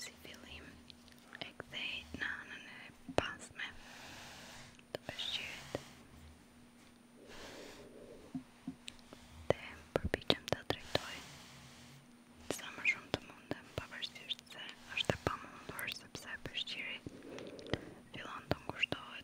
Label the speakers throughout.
Speaker 1: si fillim e në anën e pasme të pëshqirit të atrektoj qësha më shumë të mundëm përvërsisht se është dhe pa sepse pëshqiri fillon të ngushtohet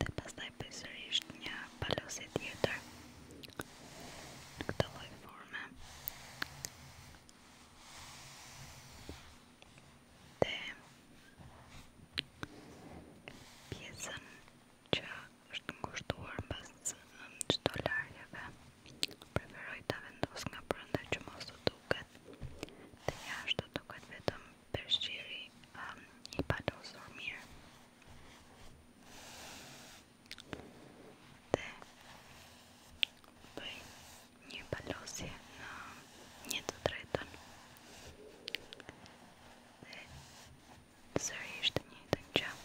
Speaker 1: dhe pas taj një balosit jetër në këta loj pjesën që është ngushtuar në pas në qëto preferoj të vendos nga prëndë që mos të duket dhe jashtë duket vetëm përshqiri një um, palosur mirë dhe bëj një palosje në një të tretën dhe nësër të qëpë dhe kështë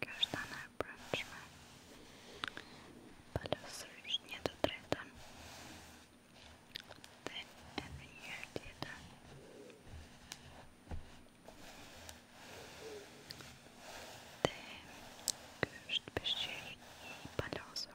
Speaker 1: Każda branża podosrycznie dotryta. Then every year did Te kürzt bestrzeli i palozor.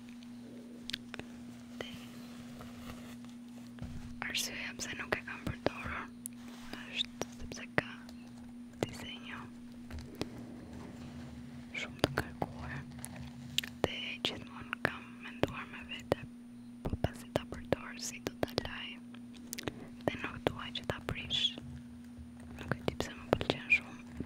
Speaker 1: Te arsome nuk e kam përdorur është sepse ka disenjo shumë të këqë. Te çdo më kam menduar me vete, po pastaj ta përdor se do të laj. Te nuk duaj ta prish. Nuk e di pse më pëlqen shumë.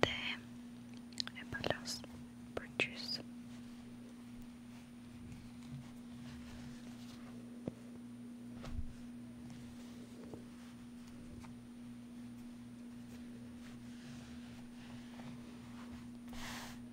Speaker 1: The balance produce.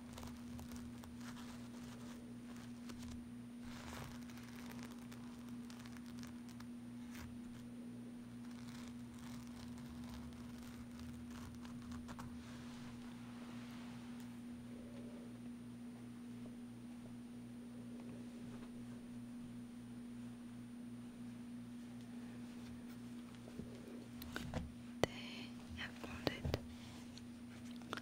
Speaker 1: They have bonded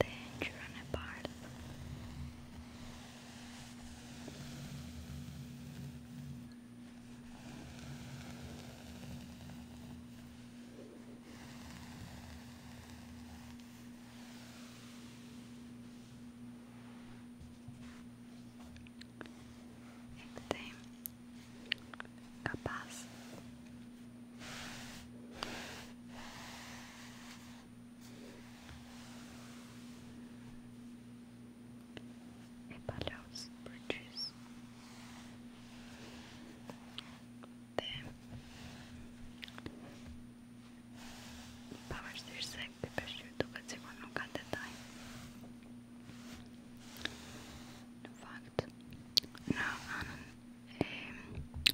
Speaker 1: then you run apart. Este Apollo's bridges. The Pavastırsak beşirdu kaçıvan o kadetay. In fact, no, um,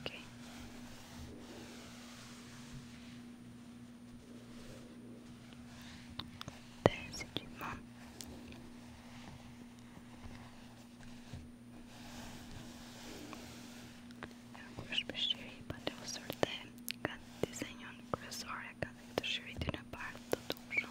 Speaker 1: Okay. Des équipements. Yaklaşmışları bana usulde kan disenyon klasörle kadar şeridine parkta doğru.